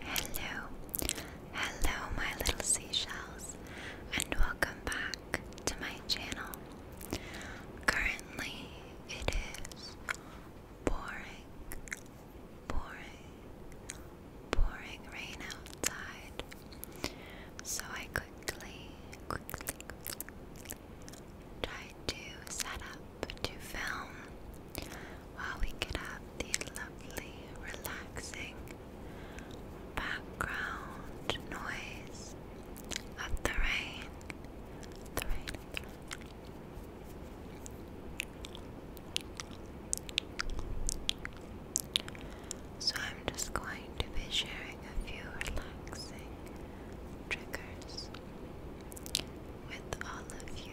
Hello, hello, my little seashells, and welcome back to my channel. Currently, it is pouring, pouring, pouring rain outside, so I quickly, quickly, quickly tried to set up to film while we could have the lovely, relaxing background noise of The rain. So, I'm just going to be sharing a few relaxing triggers with all of you.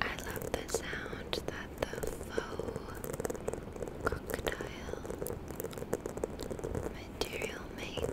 I love the sound that the faux crocodile material makes,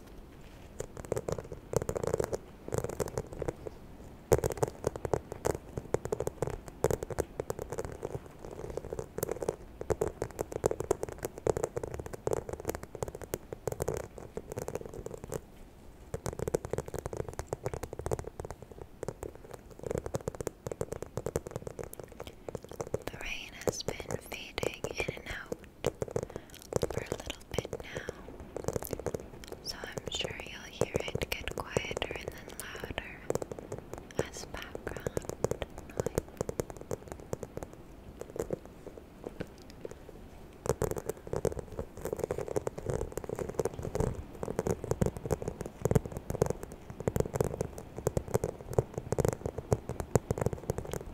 The rain has been fading in and out for a little bit now, so I'm sure you'll hear it get quieter and then louder as background noise.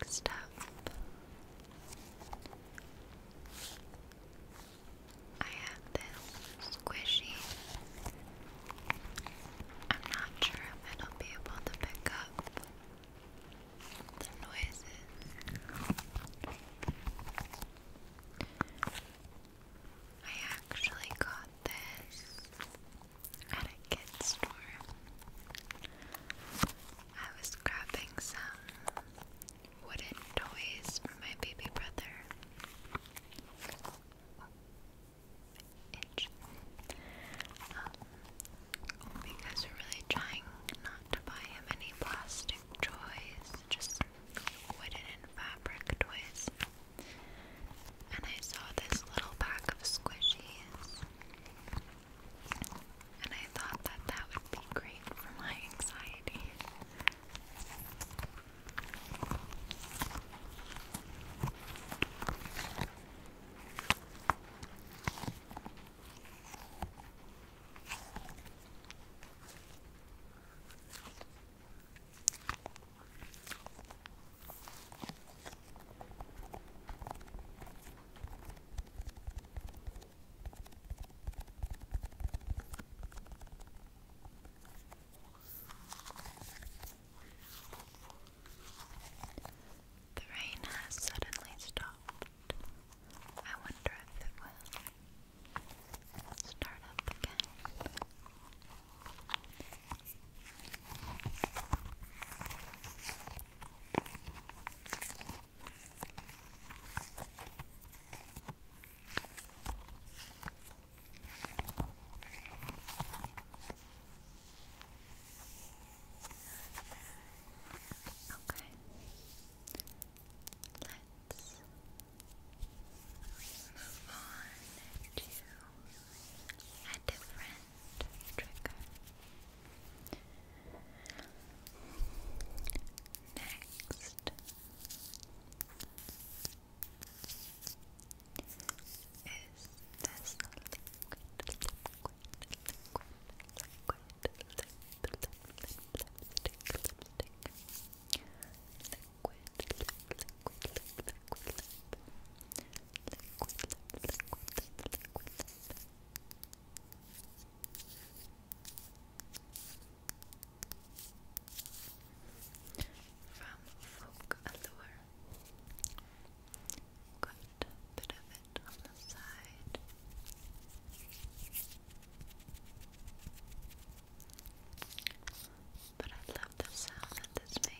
Next up, I have this squishy. I'm not sure if it'll be able to pick up the noises. I actually got this at a kid's store. I was grabbing some wooden toys for my baby brother. Um, because we're really trying not to buy him any plastic toys, just wooden and fabric toys and I saw this little pack of squishies. And I thought that that would be great for my anxiety. The rain has suddenly stopped. I wonder if it will start up again. Okay. Let's move on to a different trigger. Next is this liquid, liquid, liquid, liquid, lipstick, lipstick, liquid, lip, liquid, lip, liquid, lip liquid, liquid, From Folk Allure. Got a bit of it on the side. But I love the sound that this makes.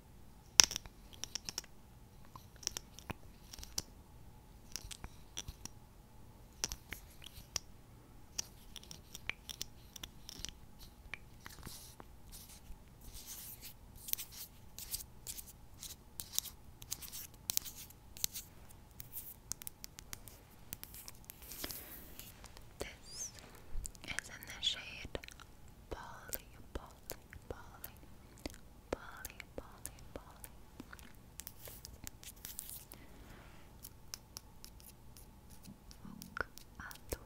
This is in the shade Polyball. Polly, Polly, Polly, Polly, Polly. Hook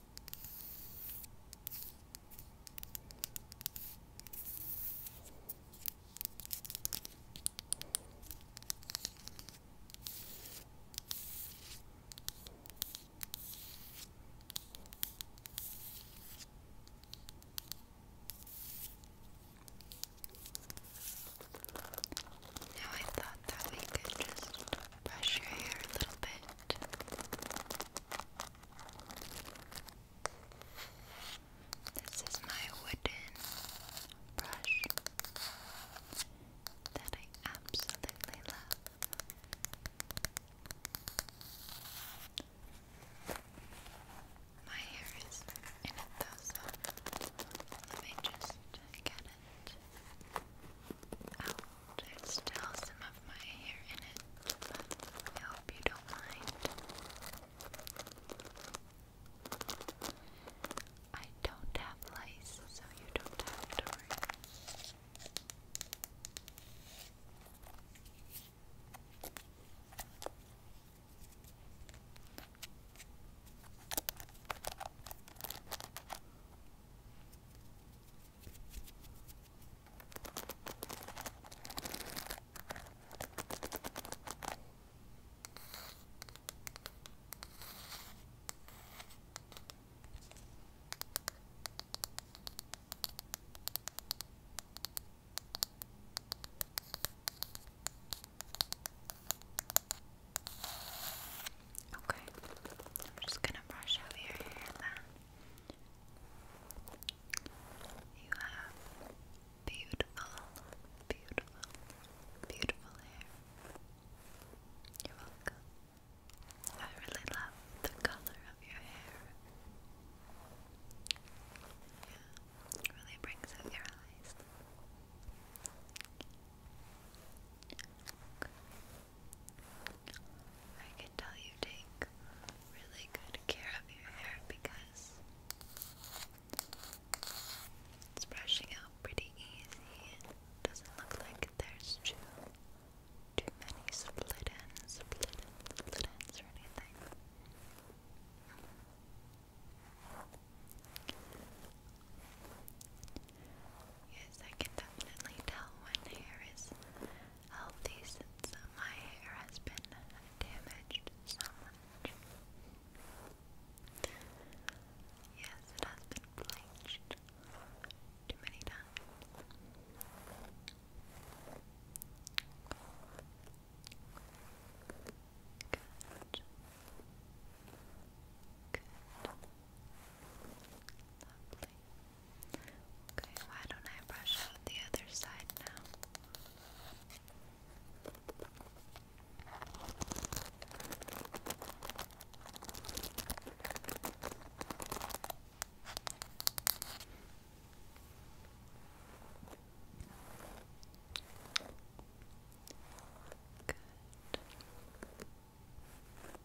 Now I thought that we could just brush your hair a little bit. This is my wooden brush that I absolutely love. My hair is in it though, let me just get it out. Oh, there's still some of my hair in it, I hope you don't mind. I don't have lice, so you don't have to worry. Okay, I'm just gonna brush over your hair then. You have beautiful, beautiful, beautiful hair. You're welcome. I really love the color of your hair. Yeah, it really brings out your eyes. I can tell you take really good care of your hair because it's brushing out pretty easy. and doesn't look like there's too too many split ends, split ends, split ends or anything. Yes, I can definitely tell when hair is healthy since my hair has been damaged so much. Yes, it has been bleached too many times. Good. Good. Lovely. Okay, why don't I brush the other side now? Good.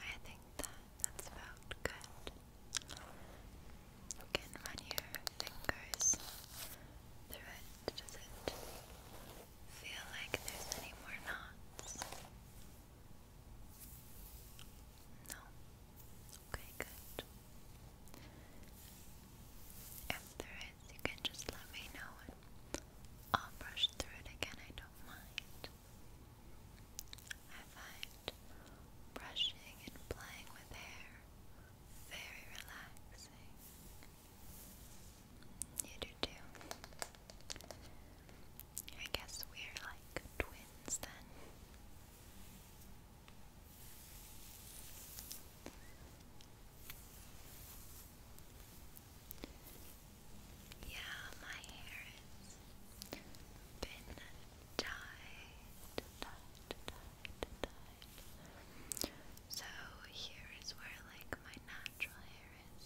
I think that that's about good. You can run your fingers through it, does it? feel like there's any more knots? No? Okay, good. If there is, you can just let me know I'll brush through it again, I don't mind. I find brushing and playing with hair very relaxing. You do too. I guess we're like twins then. Yeah, my hair has been dyed, so here is where like my natural hair is,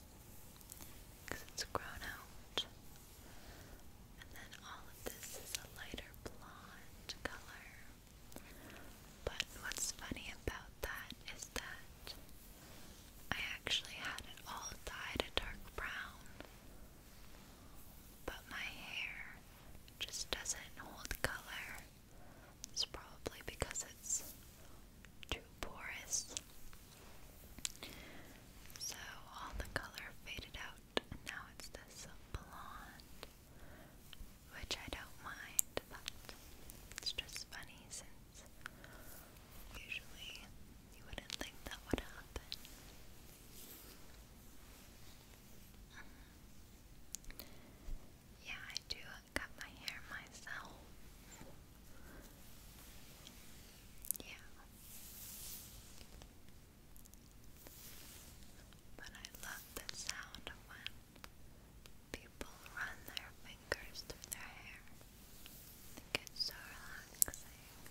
because it's grown out. And then all of this is a lighter blonde color. But what's funny about that is that I actually had it all dyed a dark brown, but my hair just doesn't hold color. It's probably because it's too porous. So all the color faded out, and now it's this blonde, which I don't mind, but it's just funny since usually you wouldn't think that would happen. Mm-hmm. Yeah, I do cut my hair myself. Yeah. But I love the sound when people run their fingers through their hair. I think it's so relaxing.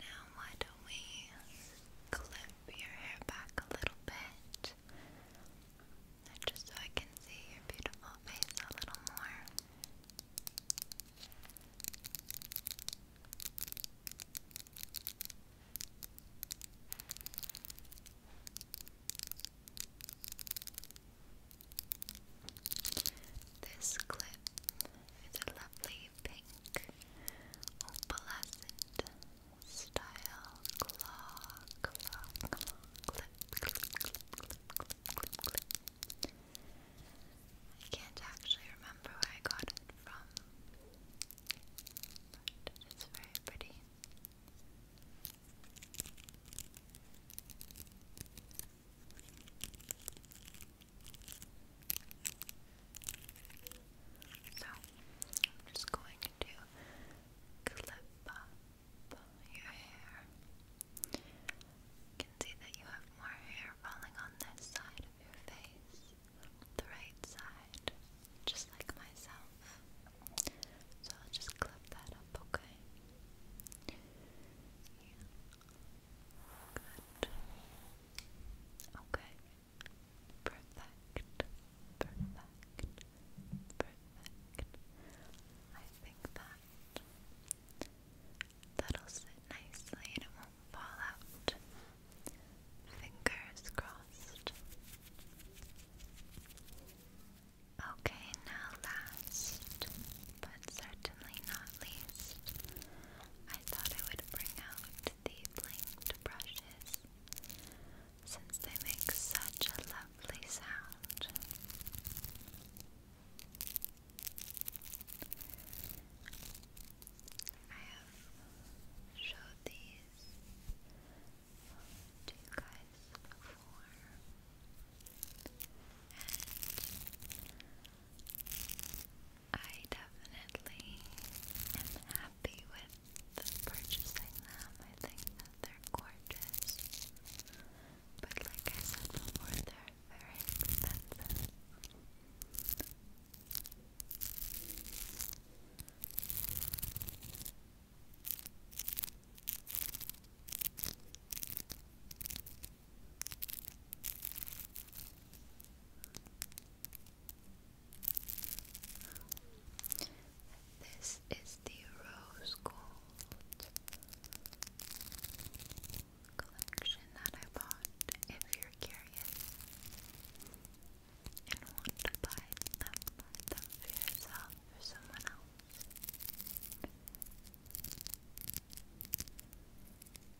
Now, why don't we clip your hair back a little bit? Just so I can see your beautiful face a little more. This clip is a lovely pink opalescent style claw, I can't actually remember where I got it from, but it's very pretty. So, I'm just going to clip your hair. You can see that you have more hair falling on this side of your face, the right side, just like myself. So, I'll just clip that up, okay? Yeah. Good. Okay. Perfect. Perfect. Perfect. I think that that'll sit nicely and it won't fall out. Fingers crossed. Okay, now last, but certainly not least, I thought I would bring out the blinked brushes since they make such a lovely sound. I have showed these to you guys before, I definitely am happy with purchasing them. I think that they're gorgeous. But like I said before, they're very expensive. This is the rose gold collection that I bought. If you're curious and want to buy them, for yourself or someone else.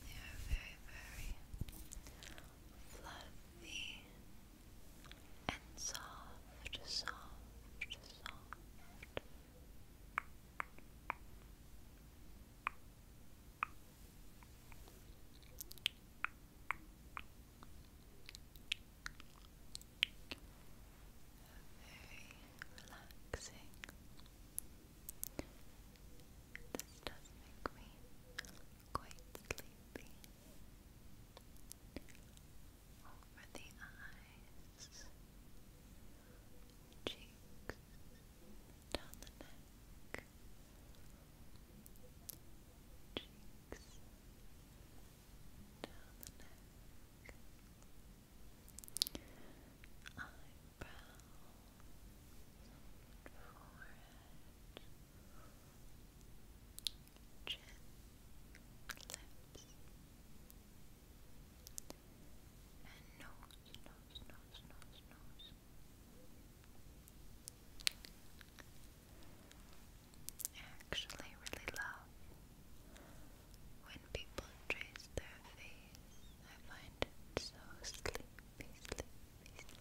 They are very, very fluffy and soft, soft, soft. Very relaxing, this does make me quite sleepy. Over the eyes, cheeks, down the neck, cheeks, down the neck eyebrows, forehead, chin, lips, and nose, actually really love when people trace their face. I find so sleepy, sleepy, sleepy. Sleepy,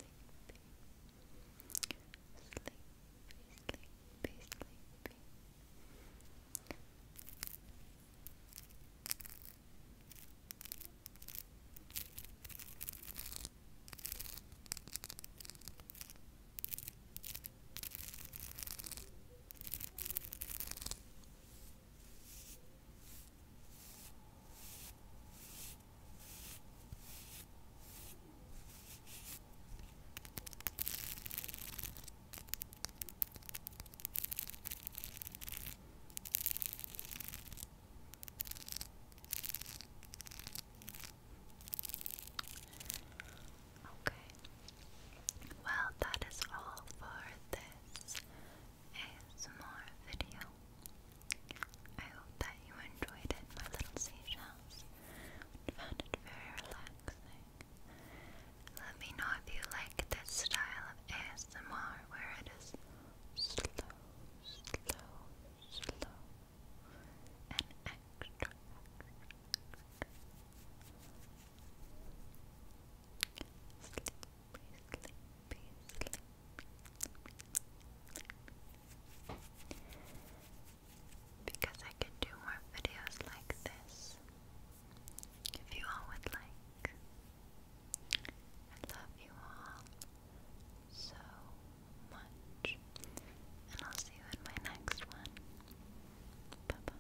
sleepy, sleepy. Sleepy, sleepy, sleepy. Okay. Well, that is all for this ASMR video. I hope that you enjoyed it, my little seashells, and found it very relaxing. Let me know if you like this style of ASMR where it is slow, slow, slow, and extra, Sleepy, sleepy, sleepy. Because I can do more videos like this. If you all would like. I love you all so much. And I'll see you in my next one. Bye bye.